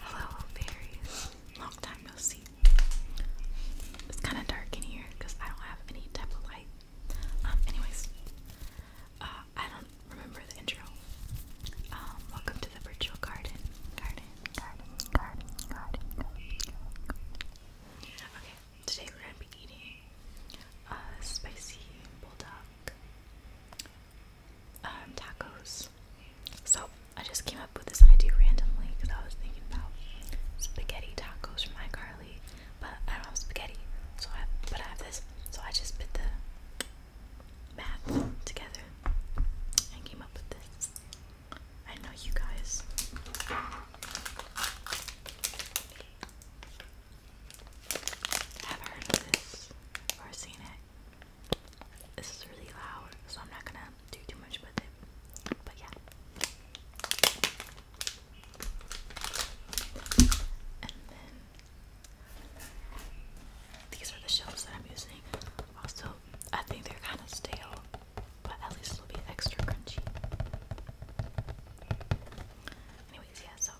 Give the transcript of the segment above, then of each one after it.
Hello, fairies. Long time no see. It's kind of dark in here because I don't have any type of light. Um, anyways, uh, I don't remember the intro. Um, welcome to the virtual garden. Garden, garden, garden, garden, Okay, today we're gonna be eating a spicy bulldog um, tacos. So I just came up with this idea randomly because I was thinking about spaghetti tacos from iCarly, but I don't have spaghetti, so I but I have this. So I just put the math together and came up with this. I know you guys have heard of this or seen it. This is really loud, so I'm not gonna do too much with But yeah. And then these are the shelves that I'm using. Also, I think they're kind of stale, but at least it'll be extra crunchy. Anyways, yeah, so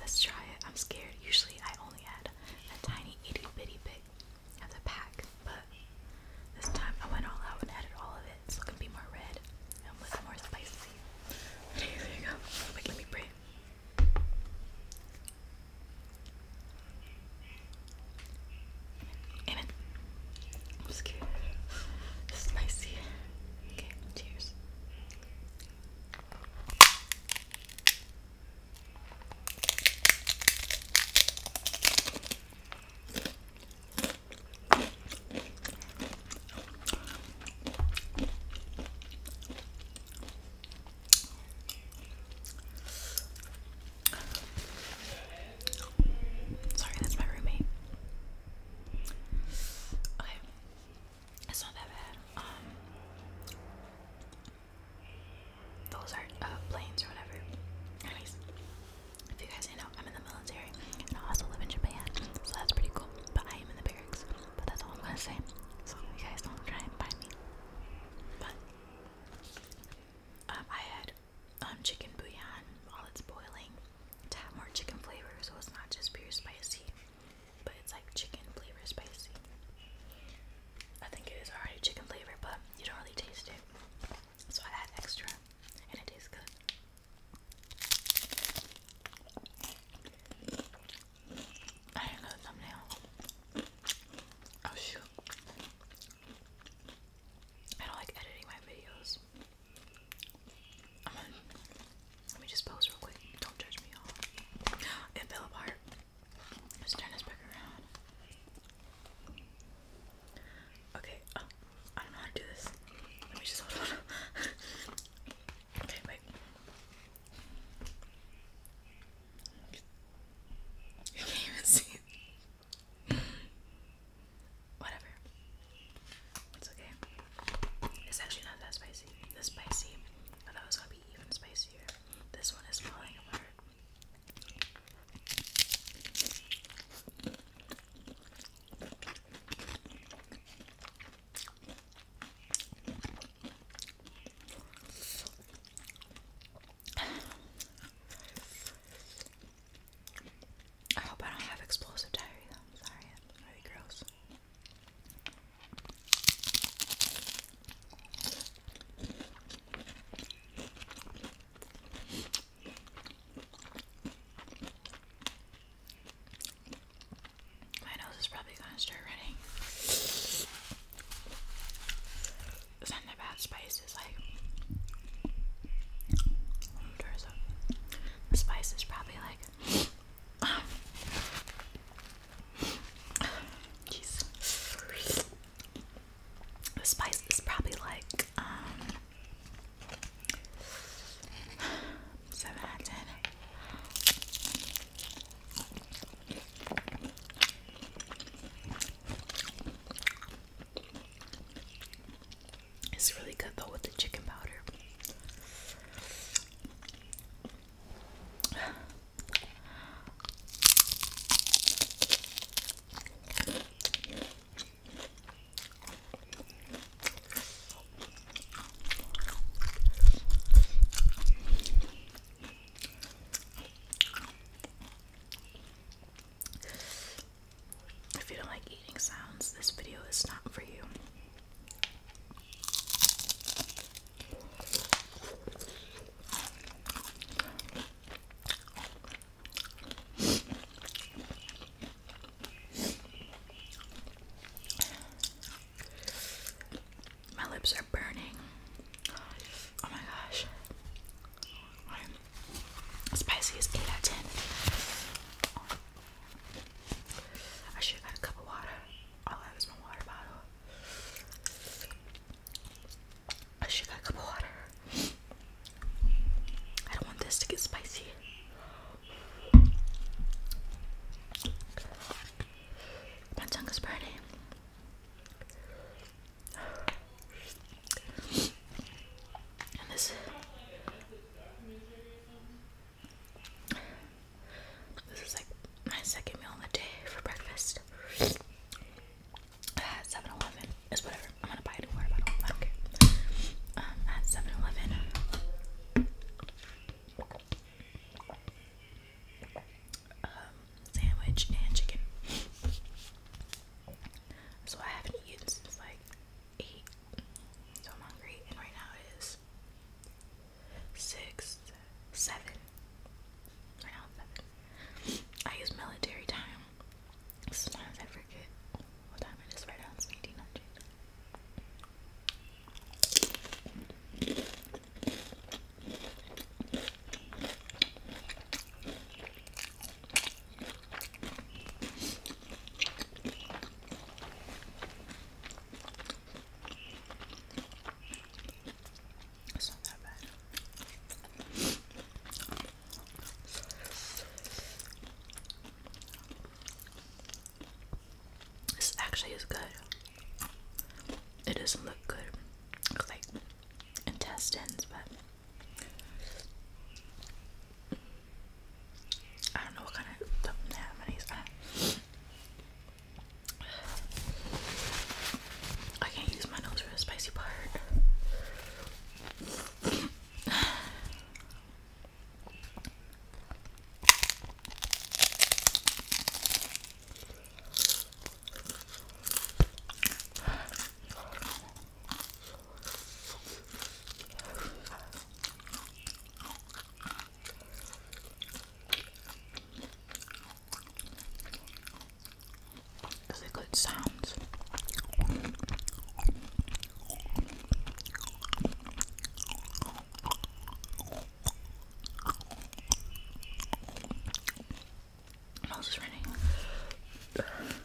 Let's try it. I'm scared. Usually I only add a tiny itty bitty bit of the pack, but this time I went all out and added all of it. so it can be more red and look more spicy. There you go. Wait, let me breathe. Amen. I'm scared. It's spicy. Okay, cheers. Sorry, that's my roommate. Okay, it's not that bad. Um, those are uh, planes or whatever. Anyways, if you guys know, I'm in the military and I also live in Japan, so that's pretty cool. But I am in the barracks, but that's all I'm gonna say. So you guys don't try and find me. But um, I had um chicken bouillon while it's boiling to have more chicken flavor, so it's not just pure spicy, but it's like chicken flavor spicy. I think it is already chicken flavor, but you don't really taste it, so I add extra, and it tastes good. I didn't know thumbnail. Oh shoot! I don't like editing my videos let me just pose real quick. Don't judge me, y'all. It fell apart. Let's turn this back around. Okay, oh, I don't know how to do this. Let me just hold on. okay, wait. You can't even see whatever. It's okay. It's actually not that spicy. This spicy. I thought it was gonna be even spicier. This one is falling apart. I oh, hope I don't have explosive diarrhea though. I'm sorry, gross. My nose is probably gonna start running. Something about spice is like. The spice is probably like. The spice is probably like um it's really good though with the chicken powder. If you don't like eating sounds, this video is not for you. My lips are burning. Oh my gosh. Spicy is 8 out of 10. I should have got a cup of water. All I have is my water bottle. I should have got a cup of water. I don't want this to get spicy. My tongue is burning this is like my second meal of the day for breakfast. At uh, 7 It's whatever. I'm gonna buy it I don't care. Um, at 7 um, sandwich and chicken. So I haven't eaten since like eight. So I'm hungry, and right now it is six, seven. Right now seven. I use military time. Sometimes I forget what time it is. Right now it's it's not that bad. This actually is good. It doesn't look good, like intestines, but I don't know what kind of thumbnails. I, I can't use my nose for the spicy part. It's a good sound. Nose is running.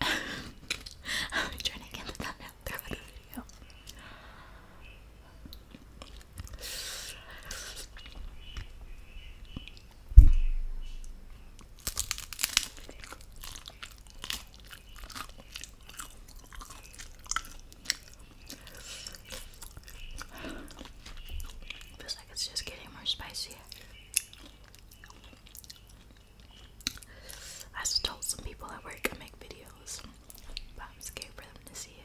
i am trying to get the thumbnail through the video. Feels like it's just getting more spicy. I told some people at work I make videos, but I'm scared for them to see it.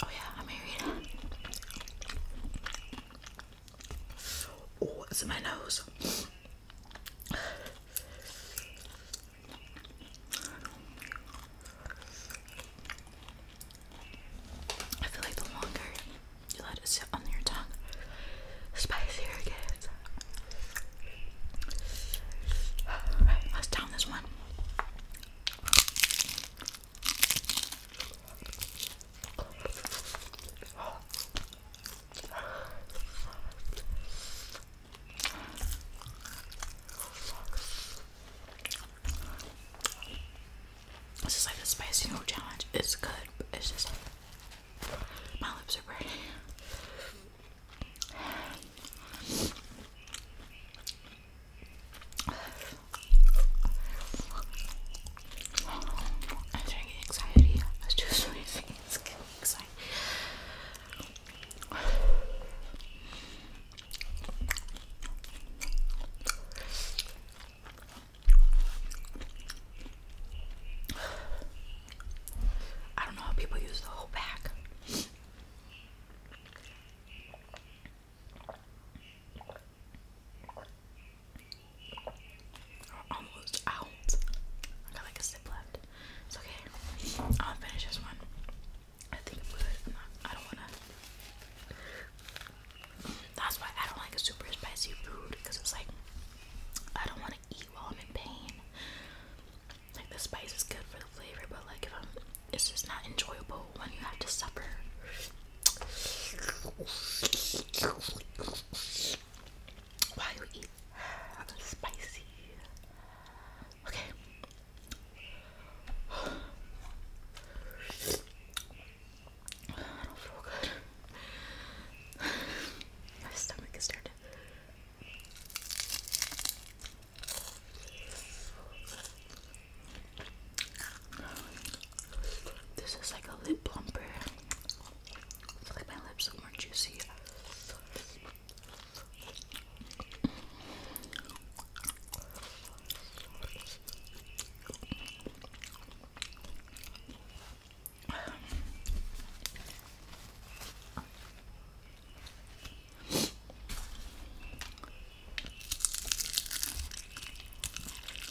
Oh yeah, I'm married. Oh, it's in my nose. I feel like the longer you let it sit on your tongue, spicier it gets. let's down this one. This is like a spicy noodle challenge. It's good, but it's just my lips are burning. I'm trying to get anxiety. I was just raising it's getting excited. I don't know how people use the whole bag almost out. I got like a sip left. It's okay. I'll finish this one. I think I'm good. I don't wanna. That's why I don't like a super spicy food because it's like I don't want to eat while I'm in pain. Like the spice is good for the flavor, but like if I'm, it's just not enjoyable when you have to suffer. While you eat spicy. Okay. I don't feel good. My stomach is started. This is like a lip plumper. I like my lips are more juicy.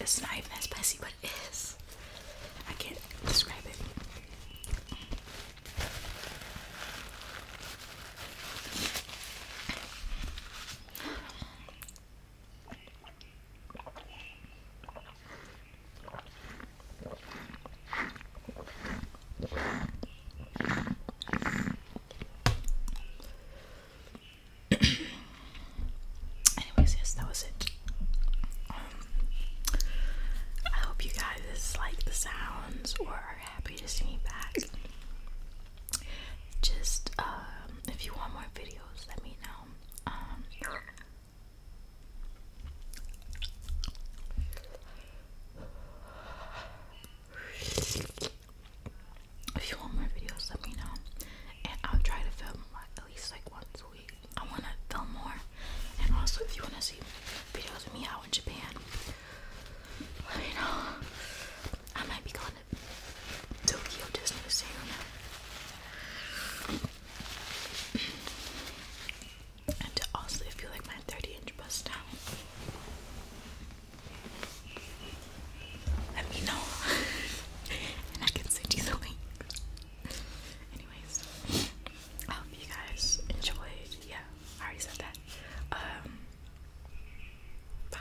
It's not even as spicy, but it is. I can't describe it. Anyways, yes, that was it. Um, I hope you guys like the sounds or are happy to see me back. Just um, if you want more videos, let me know. Um, if you want more videos, let me know, and I'll try to film at least like once a week. I want to film more, and also if you want to see videos of me out in Japan, let me know. I might be going Tokyo Disney Museum. and to also feel like my 30 inch bust down. Let me know. and I can send you the link. Anyways, I hope you guys enjoyed. Yeah, I already said that. Um bye.